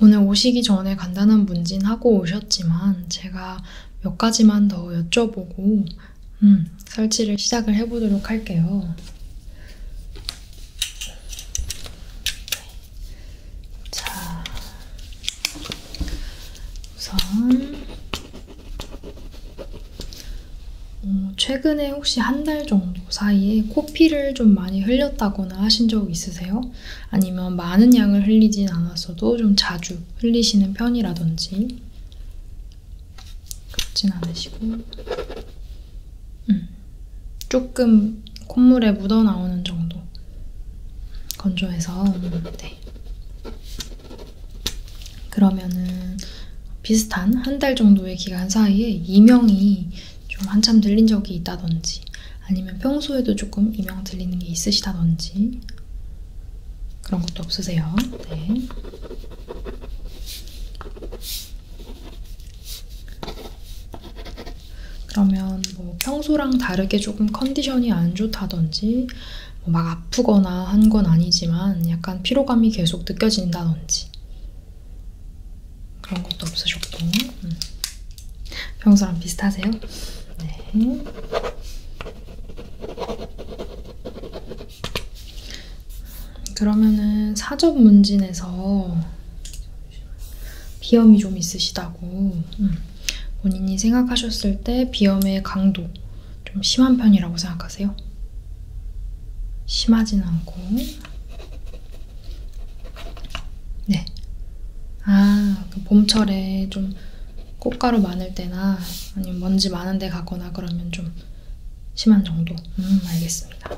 오늘 오시기 전에 간단한 문진하고 오셨지만 제가 몇 가지만 더 여쭤보고 음, 설치를 시작을 해보도록 할게요. 자, 우선 어, 최근에 혹시 한 달 정도 사이에 코 코피를 좀 많이 흘렸다거나 하신 적 있으세요? 아니면 많은 양을 흘리진 않았어도 좀 자주 흘리시는 편이라든지 그렇진 않으시고 음, 조금 콧물에 묻어나오는 정도 건조해서 네. 그러면은 비슷한 한 달 정도의 기간 사이에 이명이 좀 한참 들린 적이 있다든지 아니면 평소에도 조금 이명 들리는 게 있으시다든지 그런 것도 없으세요. 네. 그러면 뭐 평소랑 다르게 조금 컨디션이 안 좋다든지 뭐막 아프거나 한 건 아니지만 약간 피로감이 계속 느껴진다든지 그런 것도 없으셨고 음. 평소랑 비슷하세요? 네. 그러면은 사전 문진에서 비염이 좀 있으시다고 음. 본인이 생각하셨을 때 비염의 강도 좀 심한 편이라고 생각하세요? 심하진 않고 네. 아, 그 봄철에 좀 꽃가루 많을 때나 아니면 먼지 많은 데 가거나 그러면 좀 심한 정도? 음, 알겠습니다.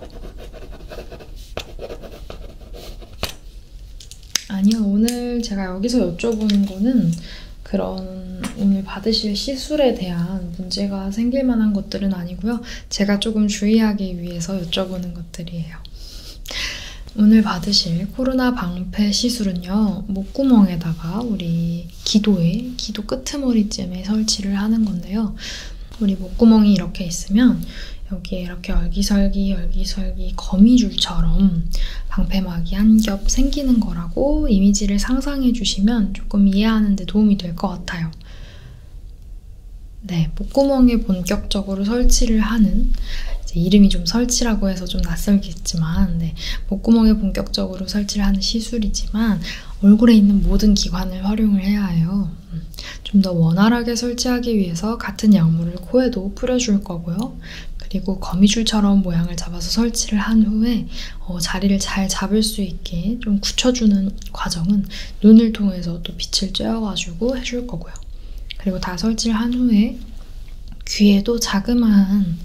아니요, 오늘 제가 여기서 여쭤보는 거는 그런 오늘 받으실 시술에 대한 문제가 생길 만한 것들은 아니고요. 제가 조금 주의하기 위해서 여쭤보는 것들이에요. 오늘 받으실 코로나 방패 시술은요, 목구멍에다가 우리 기도에, 기도 끄트머리쯤에 설치를 하는 건데요. 우리 목구멍이 이렇게 있으면 여기에 이렇게 얼기설기, 얼기설기, 거미줄처럼 방패막이 한 겹 생기는 거라고 이미지를 상상해 주시면 조금 이해하는 데 도움이 될 것 같아요. 네, 목구멍에 본격적으로 설치를 하는 이제 이름이 좀 설치라고 해서 좀 낯설겠지만 네, 목구멍에 본격적으로 설치를 하는 시술이지만 얼굴에 있는 모든 기관을 활용을 해야 해요. 음, 좀더 원활하게 설치하기 위해서 같은 약물을 코에도 뿌려줄 거고요. 그리고 거미줄처럼 모양을 잡아서 설치를 한 후에 어, 자리를 잘 잡을 수 있게 좀 굳혀주는 과정은 눈을 통해서 또 빛을 쬐어가지고 해줄 거고요. 그리고 다 설치를 한 후에 귀에도 자그마한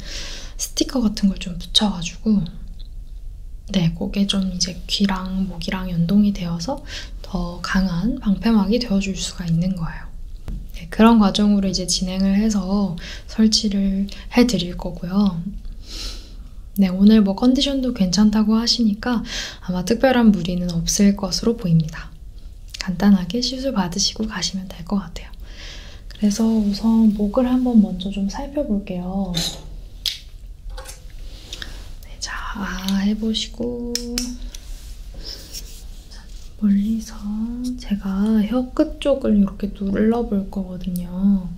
스티커 같은 걸 좀 붙여가지고 네, 그게 좀 이제 귀랑 목이랑 연동이 되어서 더 강한 방패막이 되어줄 수가 있는 거예요. 네, 그런 과정으로 이제 진행을 해서 설치를 해드릴 거고요. 네, 오늘 뭐 컨디션도 괜찮다고 하시니까 아마 특별한 무리는 없을 것으로 보입니다. 간단하게 시술 받으시고 가시면 될 것 같아요. 그래서 우선 목을 한번 먼저 좀 살펴볼게요. 네, 자, 해보시고. 멀리서 제가 혀 끝 쪽을 이렇게 눌러볼 거거든요.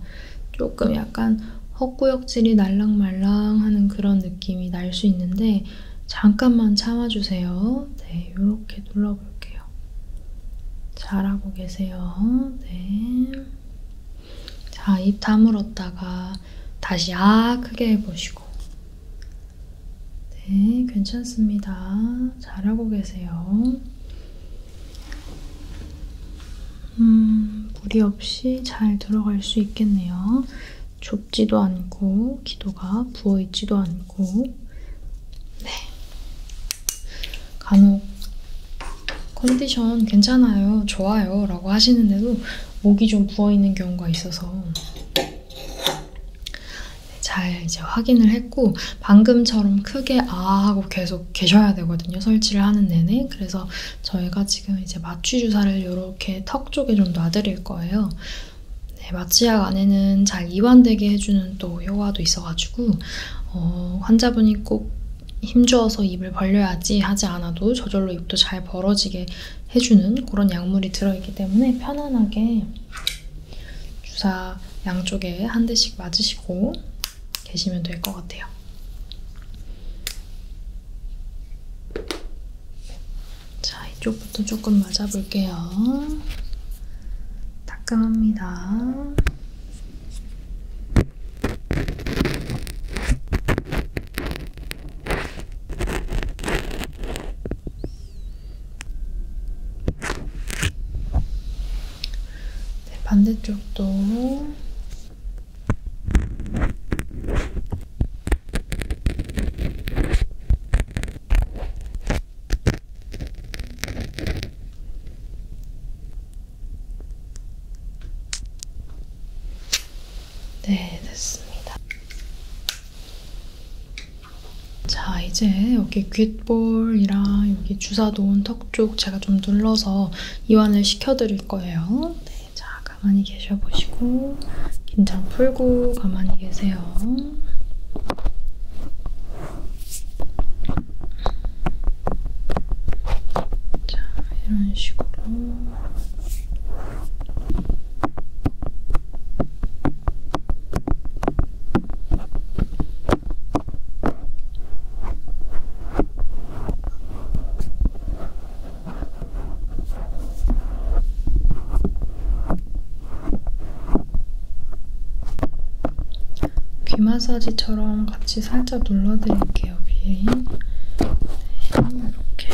조금 약간 헛구역질이 날랑말랑하는 그런 느낌이 날 수 있는데 잠깐만 참아주세요. 네, 이렇게 눌러볼게요. 잘하고 계세요. 네. 자, 입 다물었다가 다시 아 크게 해보시고 네, 괜찮습니다. 잘하고 계세요. 음, 무리 없이 잘 들어갈 수 있겠네요. 좁지도 않고, 기도가 부어있지도 않고, 네. 간혹 컨디션 괜찮아요, 좋아요 라고 하시는데도 목이 좀 부어있는 경우가 있어서 네, 잘 이제 확인을 했고 방금처럼 크게 아 하고 계속 계셔야 되거든요 설치를 하는 내내 그래서 저희가 지금 이제 마취 주사를 이렇게 턱 쪽에 좀 놔드릴 거예요. 네, 마취약 안에는 잘 이완되게 해주는 또 효과도 있어가지고 어, 환자분이 꼭 힘주어서 입을 벌려야지 하지 않아도 저절로 입도 잘 벌어지게 해주는 그런 약물이 들어있기 때문에 편안하게 주사 양쪽에 한 대씩 맞으시고 계시면 될 것 같아요. 자, 이쪽부터 조금 맞아볼게요. 따끔합니다. 네, 반대쪽도 네, 됐습니다. 자, 이제 여기 귓볼이랑 여기 주사도 온턱쪽 제가 좀 눌러서 이완을 시켜드릴 거예요. 네. 네, 자 가만히 계셔보시고 긴장 풀고 가만히 계세요. 자 이런 식으로. 자, 귀 마사지처럼 같이 살짝 눌러드릴게요, 귀에. 네, 이렇게.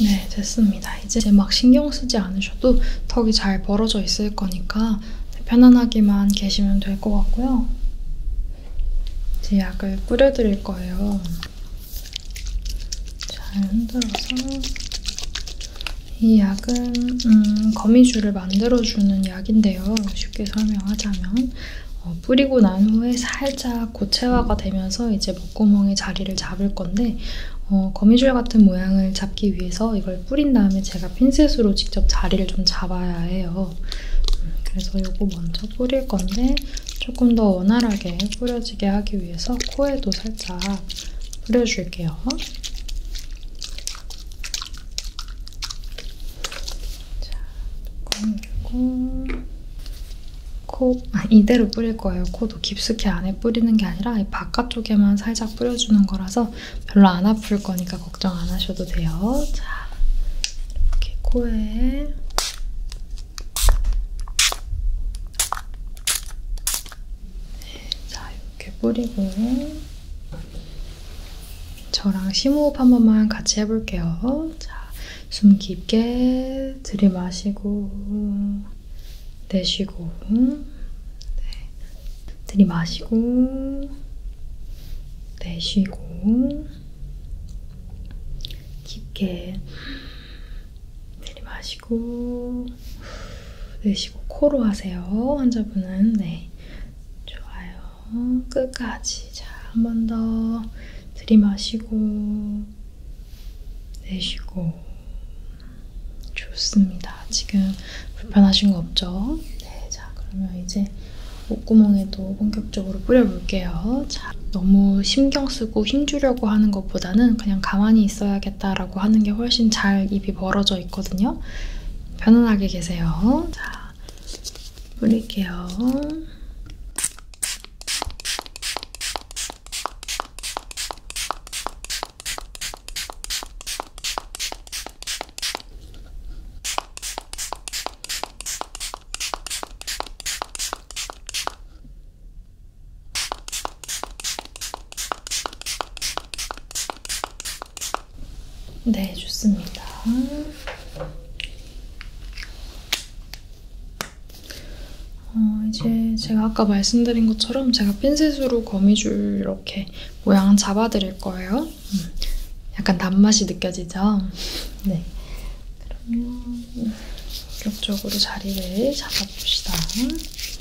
네, 됐습니다. 이제 막 신경 쓰지 않으셔도 턱이 잘 벌어져 있을 거니까 편안하게만 계시면 될 것 같고요. 이제 약을 뿌려드릴 거예요. 잘 흔들어서 이 약은 음, 거미줄을 만들어주는 약인데요. 쉽게 설명하자면 어, 뿌리고 난 후에 살짝 고체화가 되면서 이제 목구멍에 자리를 잡을 건데 어, 거미줄 같은 모양을 잡기 위해서 이걸 뿌린 다음에 제가 핀셋으로 직접 자리를 좀 잡아야 해요. 그래서 이거 먼저 뿌릴 건데 조금 더 원활하게 뿌려지게 하기 위해서 코에도 살짝 뿌려줄게요. 자, 뚜껑 열고 코, 아, 이대로 뿌릴 거예요. 코도 깊숙이 안에 뿌리는 게 아니라 이 바깥쪽에만 살짝 뿌려주는 거라서 별로 안 아플 거니까 걱정 안 하셔도 돼요. 자, 이렇게 코에 네, 자, 이렇게 뿌리고 저랑 심호흡 한 번만 같이 해볼게요. 자, 숨 깊게 들이마시고 내쉬고 네. 들이마시고 내쉬고 깊게 길이 마시고 내쉬고 코로 하세요. 환자분은 네 좋아요. 끝까지 자한 번 더 들이마시고 내쉬고 좋습니다. 지금 불편하신 거 없죠? 네, 자 그러면 이제 목구멍에도 본격적으로 뿌려볼게요. 자, 너무 신경 쓰고 힘 주려고 하는 것보다는 그냥 가만히 있어야겠다. 먹겠다라고 하는 게 훨씬 잘 입이 벌어져 있거든요. 편안하게 계세요. 자, 뿌릴게요. 네, 좋습니다. 어, 이제 제가 아까 말씀드린 것처럼 제가 핀셋으로 거미줄 이렇게 모양 잡아드릴 거예요. 음, 약간 단맛이 느껴지죠? 네. 그러면 본격적으로 자리를 잡아봅시다.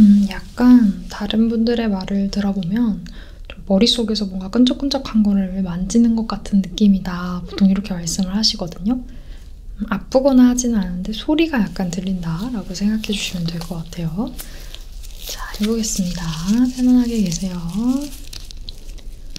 음, 약간 다른 분들의 말을 들어보면 좀 머릿속에서 뭔가 끈적끈적한 거를 만지는 것 같은 느낌이다. 보통 이렇게 말씀을 하시거든요. 음, 아프거나 하진 않은데 소리가 약간 들린다라고 생각해 주시면 될 것 같아요. 자, 해보겠습니다. 편안하게 계세요.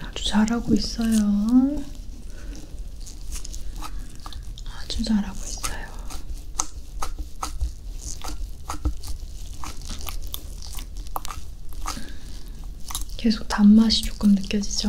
아주 잘하고 있어요. 아주 잘하고 있어요. 계속 단맛이 조금 느껴지죠?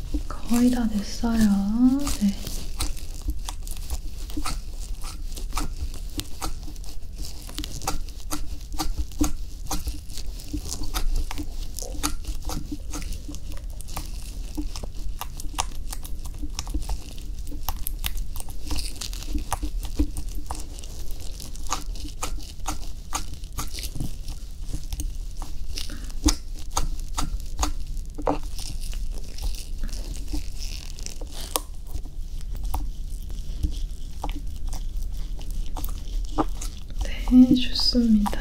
거의 다 됐어요. 네. 네, 좋습니다.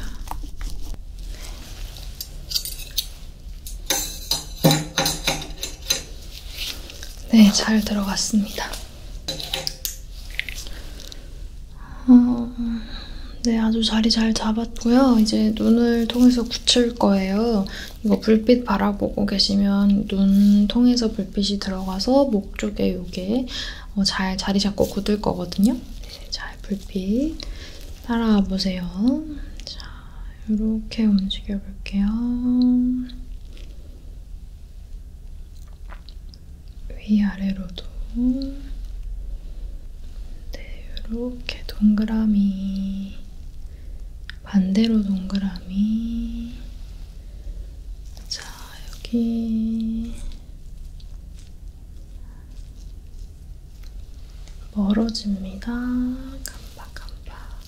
네, 잘 들어갔습니다. 어... 네, 아주 자리 잘 잡았고요. 이제 눈을 통해서 굳힐 거예요. 이거 불빛 바라보고 계시면 눈 통해서 불빛이 들어가서 목 쪽에 요게 어, 잘 자리 잡고 굳을 거거든요. 잘 불빛 따라와 보세요. 자, 이렇게 움직여 볼게요. 위아래로도 네, 이렇게 동그라미, 반대로 동그라미. 자, 여기 멀어집니다. 깜빡깜빡.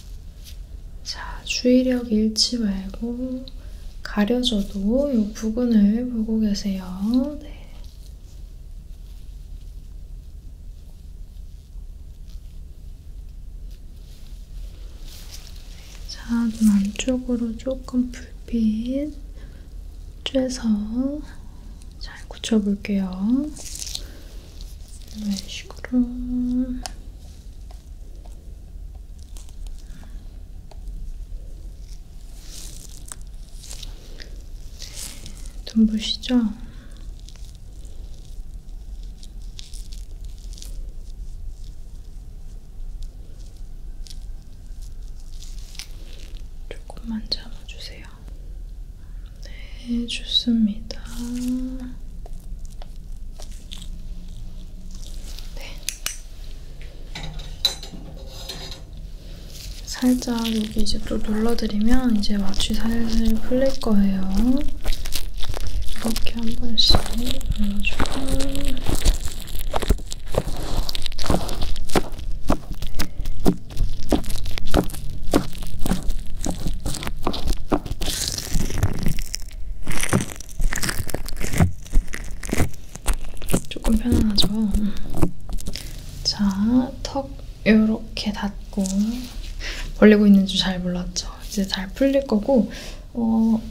자, 주의력 잃지 말고 가려져도 이 부분을 보고 계세요. 네. 자, 눈 안쪽으로 조금 불빛 쬐서 잘 굳혀볼게요. 이런 식으로. 좀 보시죠. 조금만 잡아주세요. 네, 좋습니다. 네. 살짝 여기 이제 또 눌러드리면 이제 마취 살살 풀릴 거예요. 이렇게 한 번씩 눌러주고 네. 조금 편안하죠? 음. 자, 턱 이렇게 닫고 벌리고 있는 줄 잘 몰랐죠. 이제 잘 풀릴 거고 어,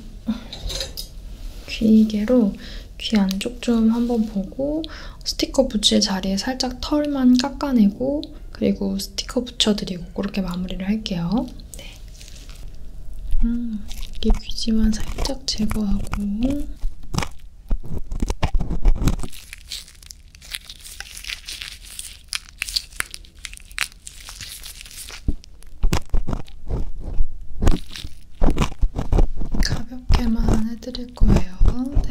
귀개로 귀 안쪽 좀 한번 보고 스티커 붙일 자리에 살짝 털만 깎아내고 그리고 스티커 붙여드리고 그렇게 마무리를 할게요. 네. 음, 이게 귀지만 살짝 제거하고 가볍게만 해드릴 거예요. 네.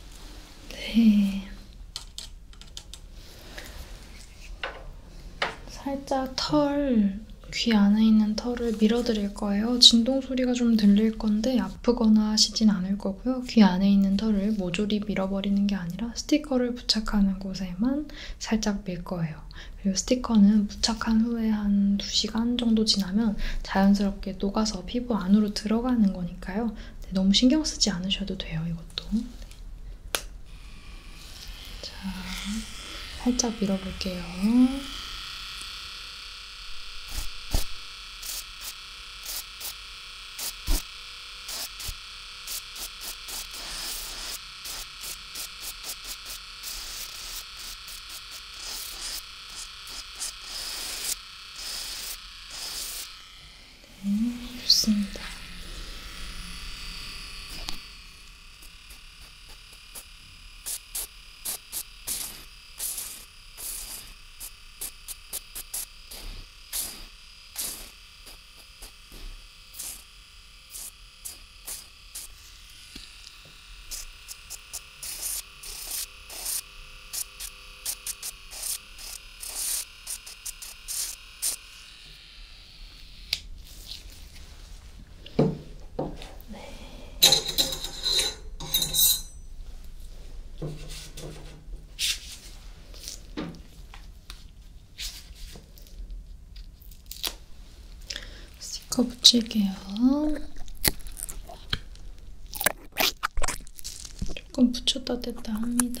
네. 살짝 털, 귀 안에 있는 털을 밀어드릴 거예요. 진동 소리가 좀 들릴 건데 아프거나 하시진 않을 거고요. 귀 안에 있는 털을 모조리 밀어버리는 게 아니라 스티커를 부착하는 곳에만 살짝 밀 거예요. 그리고 스티커는 부착한 후에 한 2시간 정도 지나면 자연스럽게 녹아서 흘러서 피부 안으로 들어가는 거니까요. 네, 너무 신경 쓰지 않으셔도 돼요. 이것도. 네. 자, 살짝 밀어볼게요. 네, 좋습니다. 네. 스티커 붙일게요. 조금 붙였다 뗐다 합니다.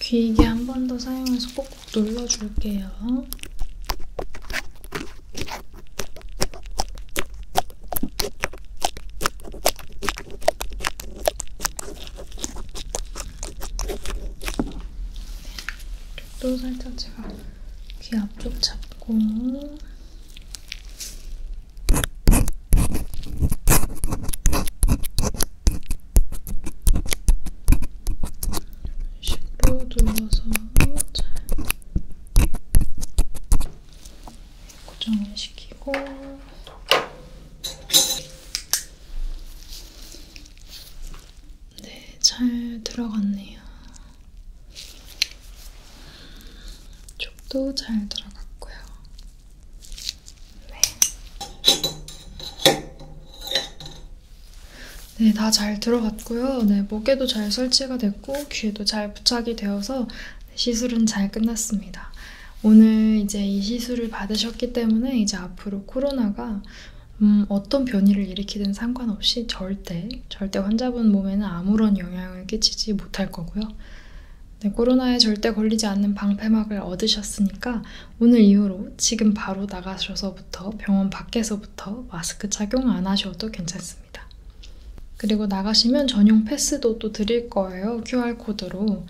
귀이게 한번 더 사용해서 꼭꼭 눌러줄게요. 또 살짝 제가 귀 앞쪽 잡고 식으로 눌러서 잘 고정을 시키고 네, 잘 들어갔네요. 쪽도 잘 들어갔고요. 네. 네, 다 잘 들어갔고요. 네, 목에도 잘 설치가 됐고 귀에도 잘 부착이 되어서 네, 시술은 잘 끝났습니다. 오늘 이제 이 시술을 받으셨기 때문에 이제 앞으로 코로나가 음, 어떤 변이를 일으키든 상관없이 절대 절대 환자분 몸에는 아무런 영향을 끼치지 못할 거고요. 네, 코로나에 절대 걸리지 않는 방패막을 얻으셨으니까 오늘 이후로 지금 바로 나가셔서부터 병원 밖에서부터 마스크 착용 안 하셔도 괜찮습니다. 그리고 나가시면 전용 패스도 또 드릴 거예요. QR코드로.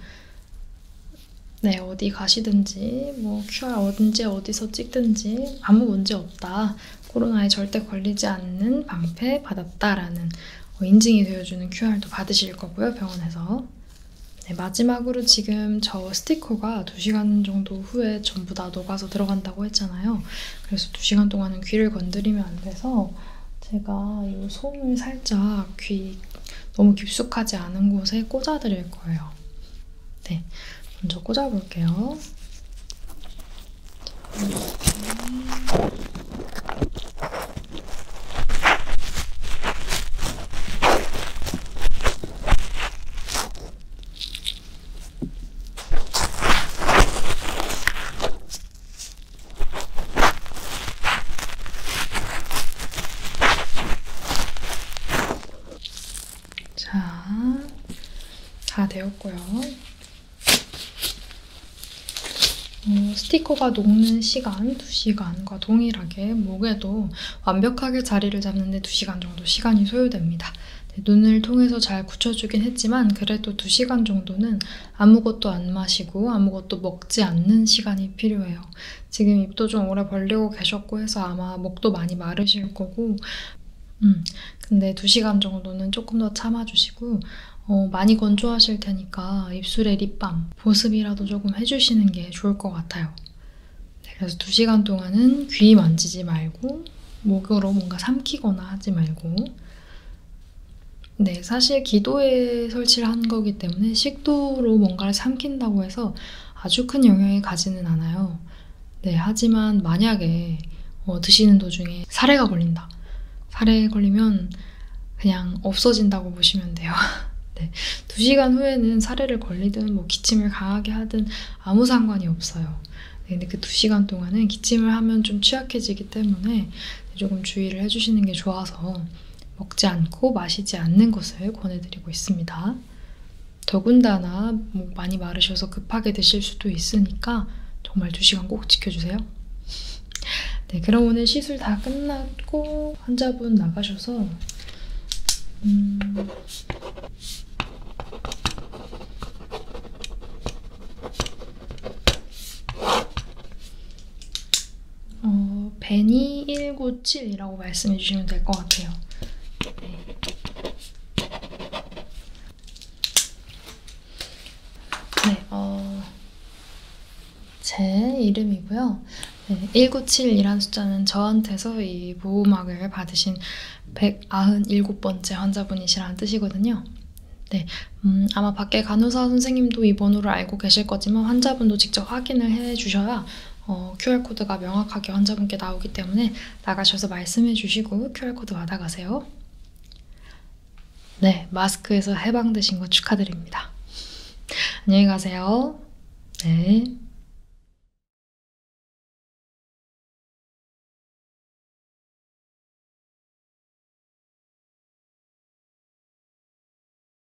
네, 어디 가시든지, 뭐, QR 언제 어디서 찍든지 아무 문제 없다. 코로나에 절대 걸리지 않는 방패 받았다라는 어, 인증이 되어주는 QR도 받으실 거고요, 병원에서. 네, 마지막으로 지금 저 스티커가 2시간 정도 후에 전부 다 녹아서 들어간다고 했잖아요. 그래서 2시간 동안은 귀를 건드리면 안 돼서 제가 이 솜을 살짝 귀 너무 깊숙하지 않은 곳에 꽂아드릴 거예요. 네, 먼저 꽂아볼게요. 자, 다 되었고요. 어, 스티커가 녹는 시간 2시간과 동일하게 목에도 완벽하게 자리를 잡는데 2시간 정도 시간이 소요됩니다. 네, 눈을 통해서 잘 굳혀주긴 했지만 그래도 2시간 정도는 아무것도 안 마시고 아무것도 먹지 않는 시간이 필요해요. 지금 입도 좀 오래 벌리고 계셨고 해서 아마 목도 많이 마르실 거고 음, 근데 2시간 정도는 조금 더 참아주시고 어, 많이 건조하실 테니까 입술에 립밤, 보습이라도 조금 해주시는 게 좋을 것 같아요. 네, 그래서 2시간 동안은 귀 만지지 말고 목으로 뭔가 삼키거나 하지 말고 네, 사실 기도에 설치를 한 거기 때문에 시 식도로 뭔가를 삼킨다고 해서 아주 큰 영향이 가지는 않아요. 네, 하지만 만약에 어, 드시는 도중에 사례가 걸린다. 사례에 걸리면 그냥 없어진다고 보시면 돼요. 네, 2시간 후에는 사례를 걸리든 뭐 기침을 강하게 하든 아무 상관이 없어요. 네, 근데 그 2시간 동안은 기침을 하면 좀 취약해지기 때문에 조금 주의를 해주시는 게 좋아서 먹지 않고 마시지 않는 것을 권해드리고 있습니다. 더군다나 뭐 많이 마르셔서 급하게 드실 수도 있으니까 정말 2시간 꼭 지켜주세요. 네, 그럼 오늘 시술 다 끝났고 환자분 나가셔서 음... 어, 베니197이라고 말씀해 주시면 될 것 같아요. 네. 네, 어, 제 이름이고요. 네, 197이란 숫자는 저한테서 이 보호막을 받으신 197번째 환자분이시라는 뜻이거든요. 네, 음, 아마 밖에 간호사 선생님도 이 번호를 알고 계실 거지만 환자분도 직접 확인을 해 주셔야 보니까 어, QR코드가 명확하게 환자분께 나오기 때문에 나가셔서 말씀해 주시고 QR코드 받아가세요. 네, 마스크에서 해방되신 거 축하드립니다. 안녕히 가세요. 네.